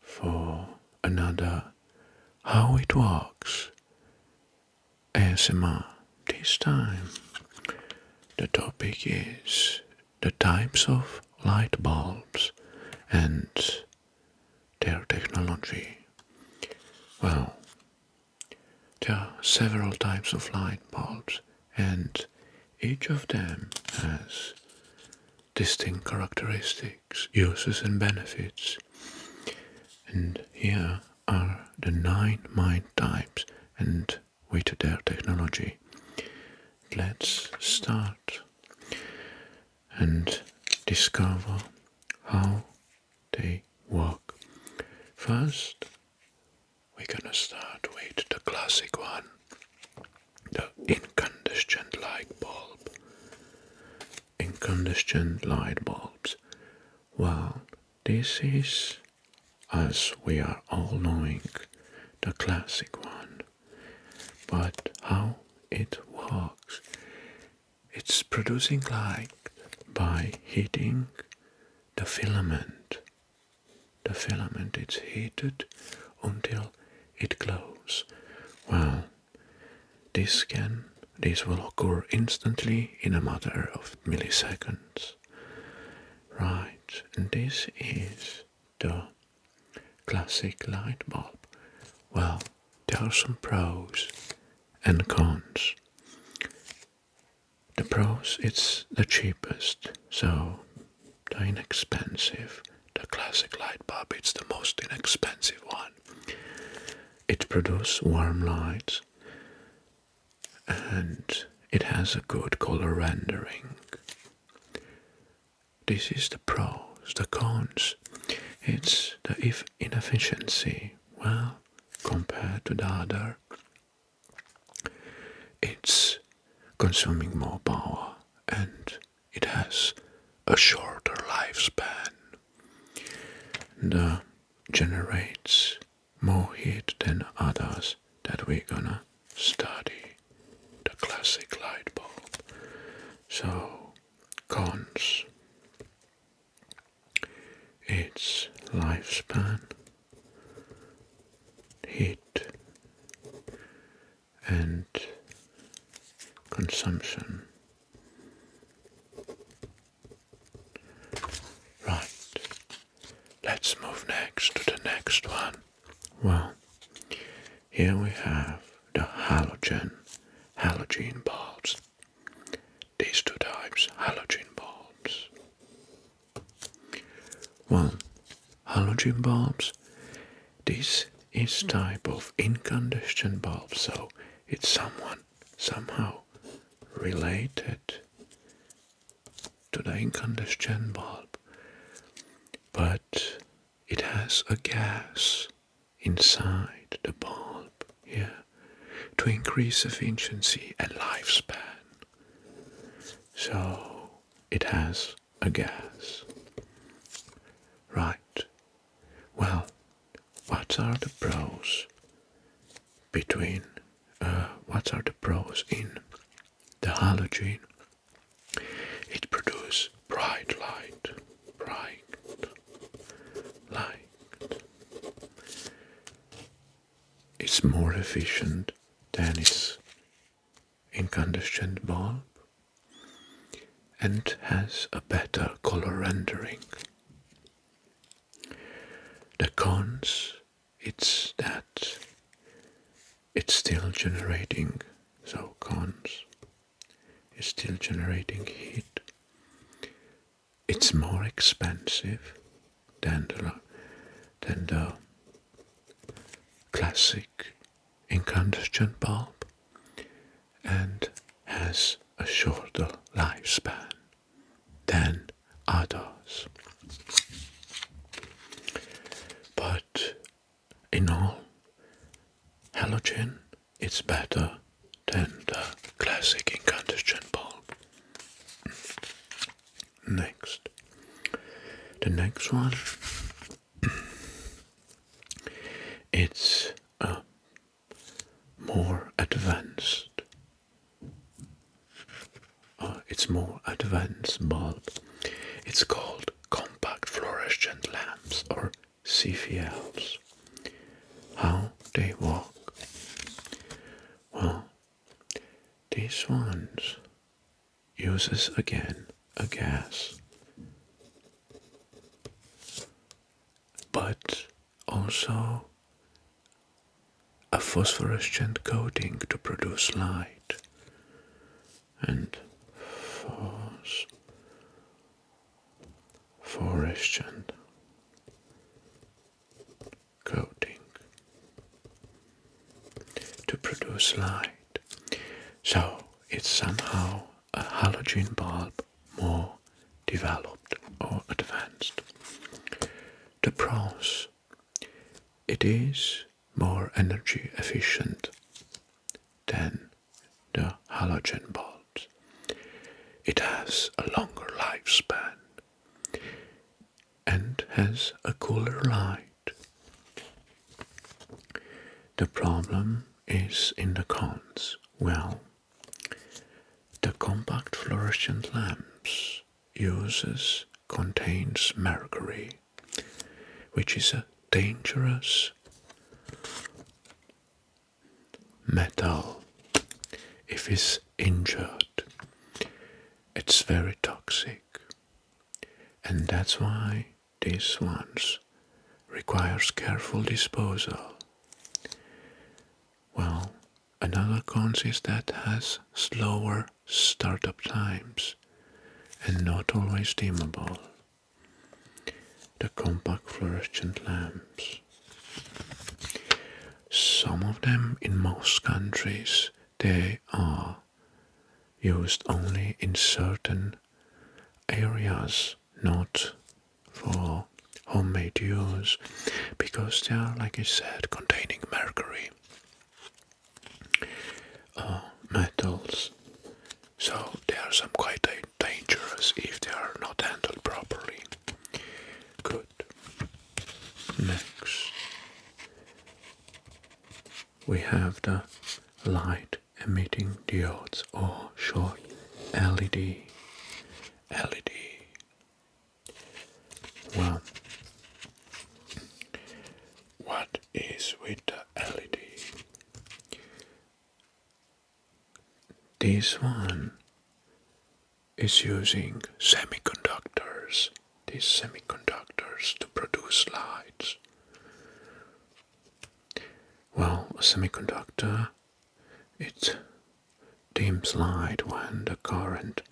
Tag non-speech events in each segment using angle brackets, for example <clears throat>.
for another How It Works ASMR. This time the topic is the types of light bulbs and their technology. Well, there are several types of light bulbs and each of them has distinct characteristics, uses, and benefits. And here are the nine mind types and weighted their technology. Let's start and discover how they work. First, we're gonna start with the classic one, the incandescent light bulb incandescent light bulbs. Well, this is, as we are all knowing, the classic one. But how it works? It's producing light by heating the filament. The filament is heated until it glows. Well, this scan, this will occur instantly in a matter of milliseconds. Right, and this is the classic light bulb. Well, there are some pros and cons. The pros, it's the cheapest, so inexpensive. The classic light bulb It's the most inexpensive one. It produces warm light and it has a good color rendering. This is the pros, the cons. It's the if inefficiency. Well, compared to the other, it's consuming more power and it has a shorter lifespan and uh, generates more heat than others that we're gonna study the classic light bulb. So, cons its lifespan, heat, and consumption. Right, let's move next to the next one. Well, here we have the halogen, halogen bulbs. These two types, halogen bulbs. Well, halogen bulbs this is type of incandescent bulb, so it's someone somehow related to the incandescent bulb, but it has a gas inside the bulb here to increase efficiency and lifespan. So it has a gas. Right. Well, what are the pros between, uh, what are the pros in the halogen? It produces bright light, bright light. It's more efficient than its incandescent bulb and has a better color rendering. The cons it's that it's still generating so cons is still generating heat. It's more expensive than than the classic incandescent bulb and has a shorter lifespan than others. But in all, halogen it's better than the classic incandescent bulb. Next. The next one <clears throat> it's a uh, more advanced. Uh, it's more advanced bulb. It's called compact fluorescent lamps or CFLs. How they work? Well, these ones uses again a gas, but also a phosphorescent coating to produce light and phos fluorescent coating to produce light so it's somehow a halogen bulb more developed or advanced. The pros it is more energy efficient than the halogen bulb. It has a longer lifespan and has a cooler light the problem is in the cons. Well, the compact fluorescent lamps uses contains mercury, which is a dangerous metal if it's injured. It's very toxic. And that's why these ones requires careful disposal. Well, another cons is that has slower startup times and not always dimmable. The compact fluorescent lamps. Some of them in most countries they are used only in certain areas, not for homemade use, because they are, like I said, containing mercury uh, metals. So they are some quite dangerous if they are not handled properly. Good. Next we have the light emitting diodes or short LED. LED. Well, what is with the LED? This one is using semiconductors these semiconductors to produce lights? Well, a semiconductor it dims light when the current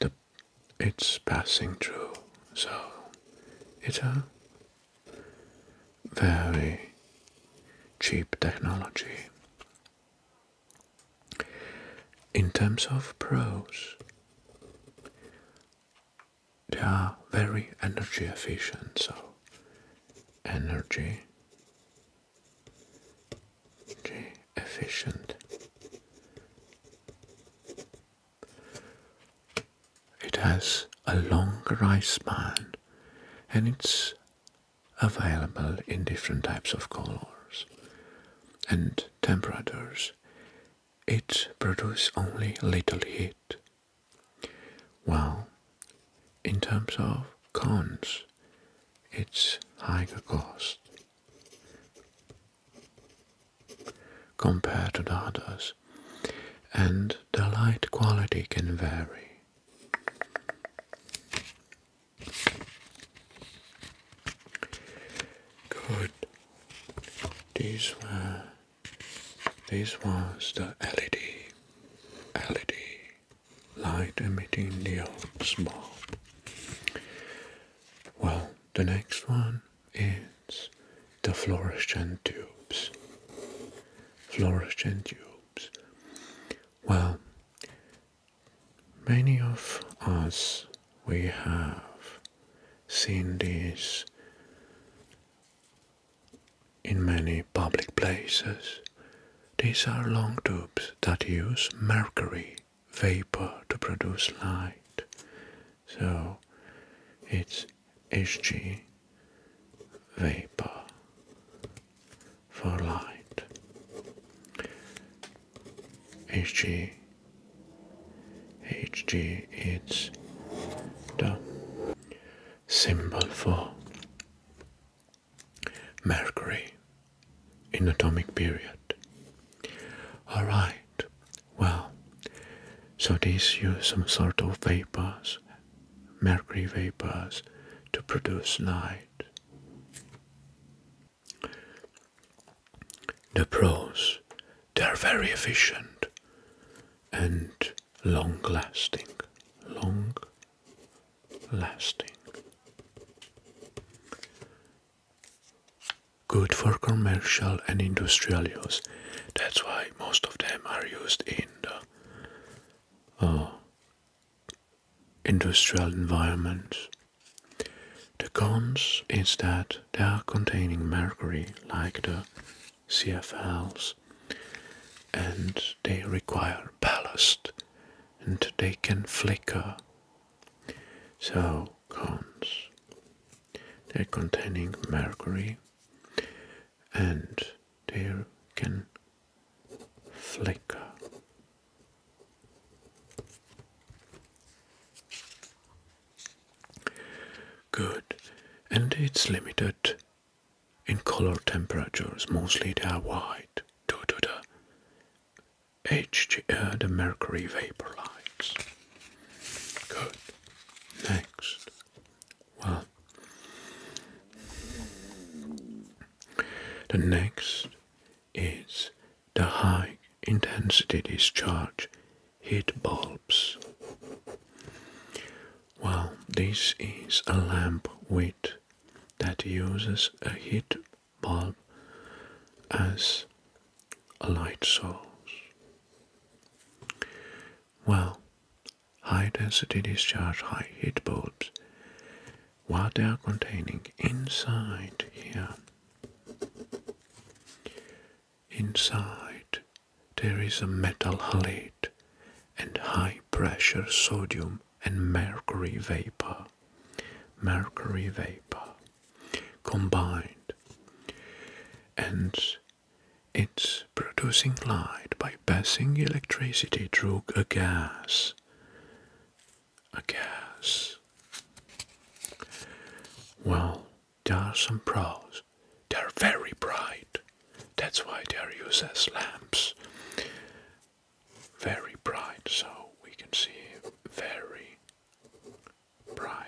the, it's passing through. So it's a very cheap technology. In terms of pros, they are very energy efficient, so energy, efficient. It has a long lifespan and it's available in different types of colors and temperatures, it produces only little heat. Well, in terms of cons, it's higher cost compared to the others, and the light quality can vary. Good. These were this was the LED LED light emitting diodes bulb. Well, the next one is the fluorescent tubes. Fluorescent tubes. Well, Many of us, we have seen these in many public places. These are long tubes that use mercury vapor to produce light. So it's Hg vapor for light. HG, HG is the symbol for Mercury in atomic period. Alright, well, so these use some sort of vapors, mercury vapors, to produce light. The pros, they are very efficient and long lasting. Long lasting. Good for commercial and industrial use. That's why most of them are used in the uh, industrial environments. The cons is that they are containing mercury like the CFLs and they require ballast and they can flicker. So, cons. They're containing mercury and they can flicker. Good, and it's limited in color temperatures. Mostly they are white due to the H uh, the mercury vapor lights. Good. Next, well, the next is the high intensity discharge heat bulbs. Well, this is a lamp with that uses a heat bulb as a light source. Well, high density discharge high heat bulbs what they are containing inside here. Inside there is a metal halide and high pressure sodium and mercury vapor. Mercury vapor combined and it's producing light by passing electricity through a gas. A gas. Well, there are some pros. They're very bright. That's why they're used as lamps. Very bright, so we can see very bright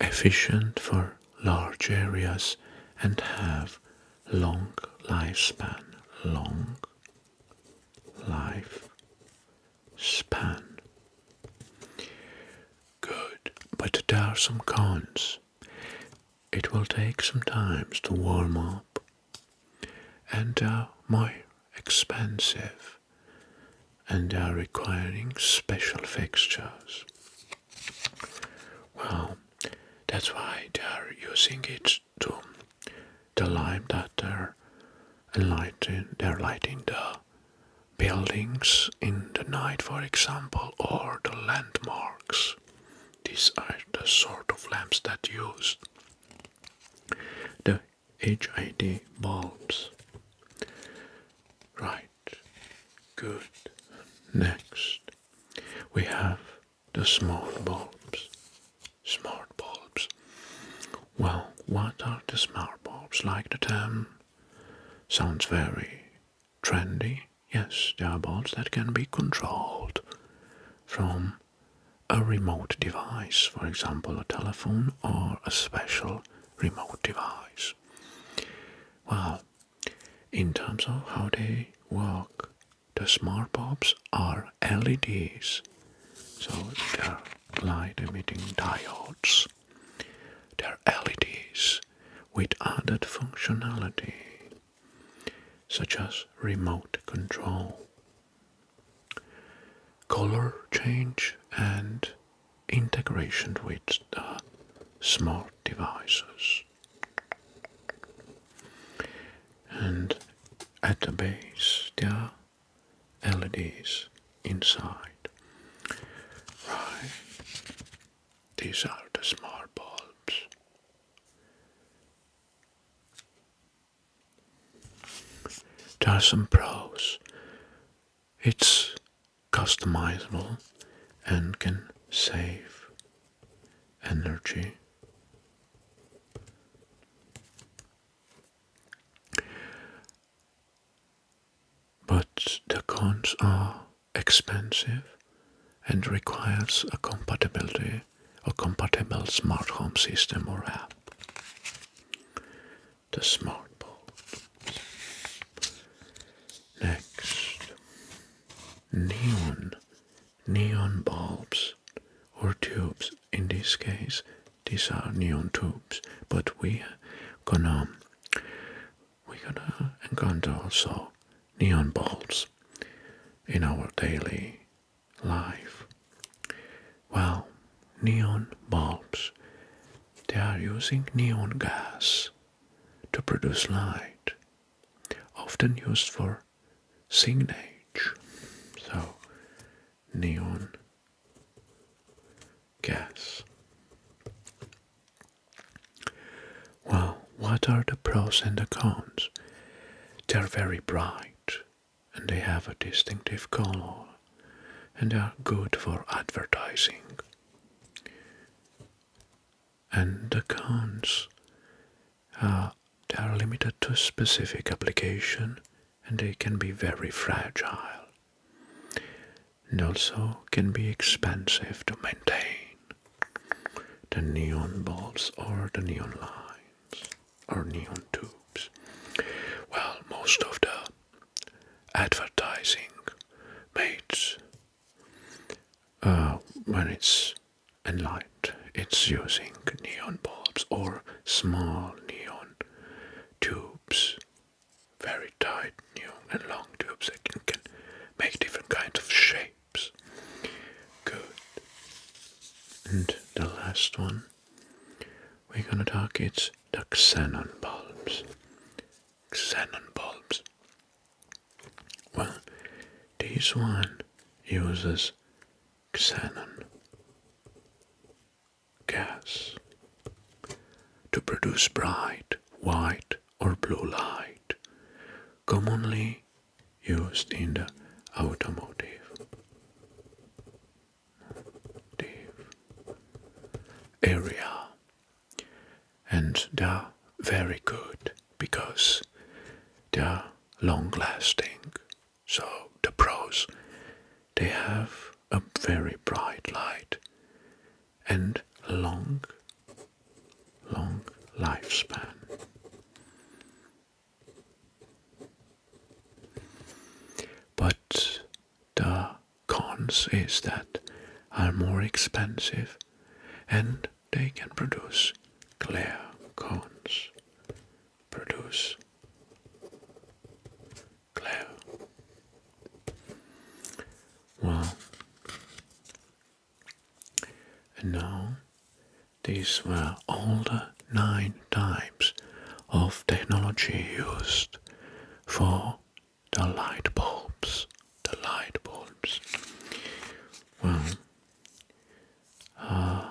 efficient for large areas and have long lifespan long life span good but there are some cons it will take some time to warm up and are more expensive and are requiring special fixtures. Well, that's why they are using it to the lime that they're lighting, they're lighting the buildings in the night, for example, or the landmarks. These are the sort of lamps that use the HID bulbs. Right, good. Next, we have the smart bulbs. Smart bulbs. Well, what are the smart bulbs? Like the term sounds very trendy. Yes, there are bulbs that can be controlled from a remote device, for example, a telephone or a special remote device. Well, in terms of how they work, the smart bulbs are LEDs, so they're light emitting diodes. They're LEDs with added functionality such as remote control, color change, and integration with smart devices. And at the base, there are LEDs inside. Right. These are the smart bulbs. There are some pros. It's customizable and can save energy. But the cons are expensive and requires a compatibility a compatible smart home system or app. The smart bulb. Next, neon, neon bulbs or tubes. In this case, these are neon tubes, but we gonna we gonna encounter also neon bulbs in our daily life. Well, neon bulbs, they are using neon gas to produce light, often used for signage. So, neon gas. Well, what are the pros and the cons? They're very bright and they have a distinctive color and they are good for advertising. And the cons? are uh, they are limited to specific application and they can be very fragile and also can be expensive to maintain the neon bulbs or the neon lines or neon tubes. Well, most of the advertising made uh, when it's in light, it's using neon bulbs or small neon tubes, very tight neon and long tubes that can, can make different kinds of shape. Good. And the last one we're gonna talk it's the xenon bulbs. Xenon bulbs. Well, this one uses xenon gas to produce bright white or blue light, commonly used in the automotive. Area and they're very good because they're long lasting. So, the pros they have a very bright light and long long lifespan. But the cons is that are more expensive and they can produce clear cones. Produce clear. Well, and now, these were all the nine types of technology used for the light bulbs. The light bulbs. Well, uh,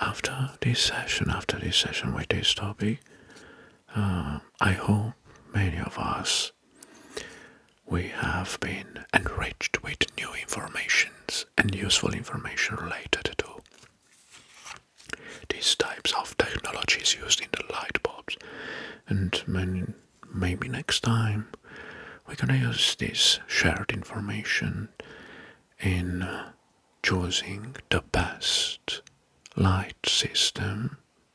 after this session, after this session with this topic, uh, I hope many of us we have been enriched with new informations and useful information related to these types of technologies used in the light bulbs. And maybe next time we're gonna use this shared information in choosing the best light system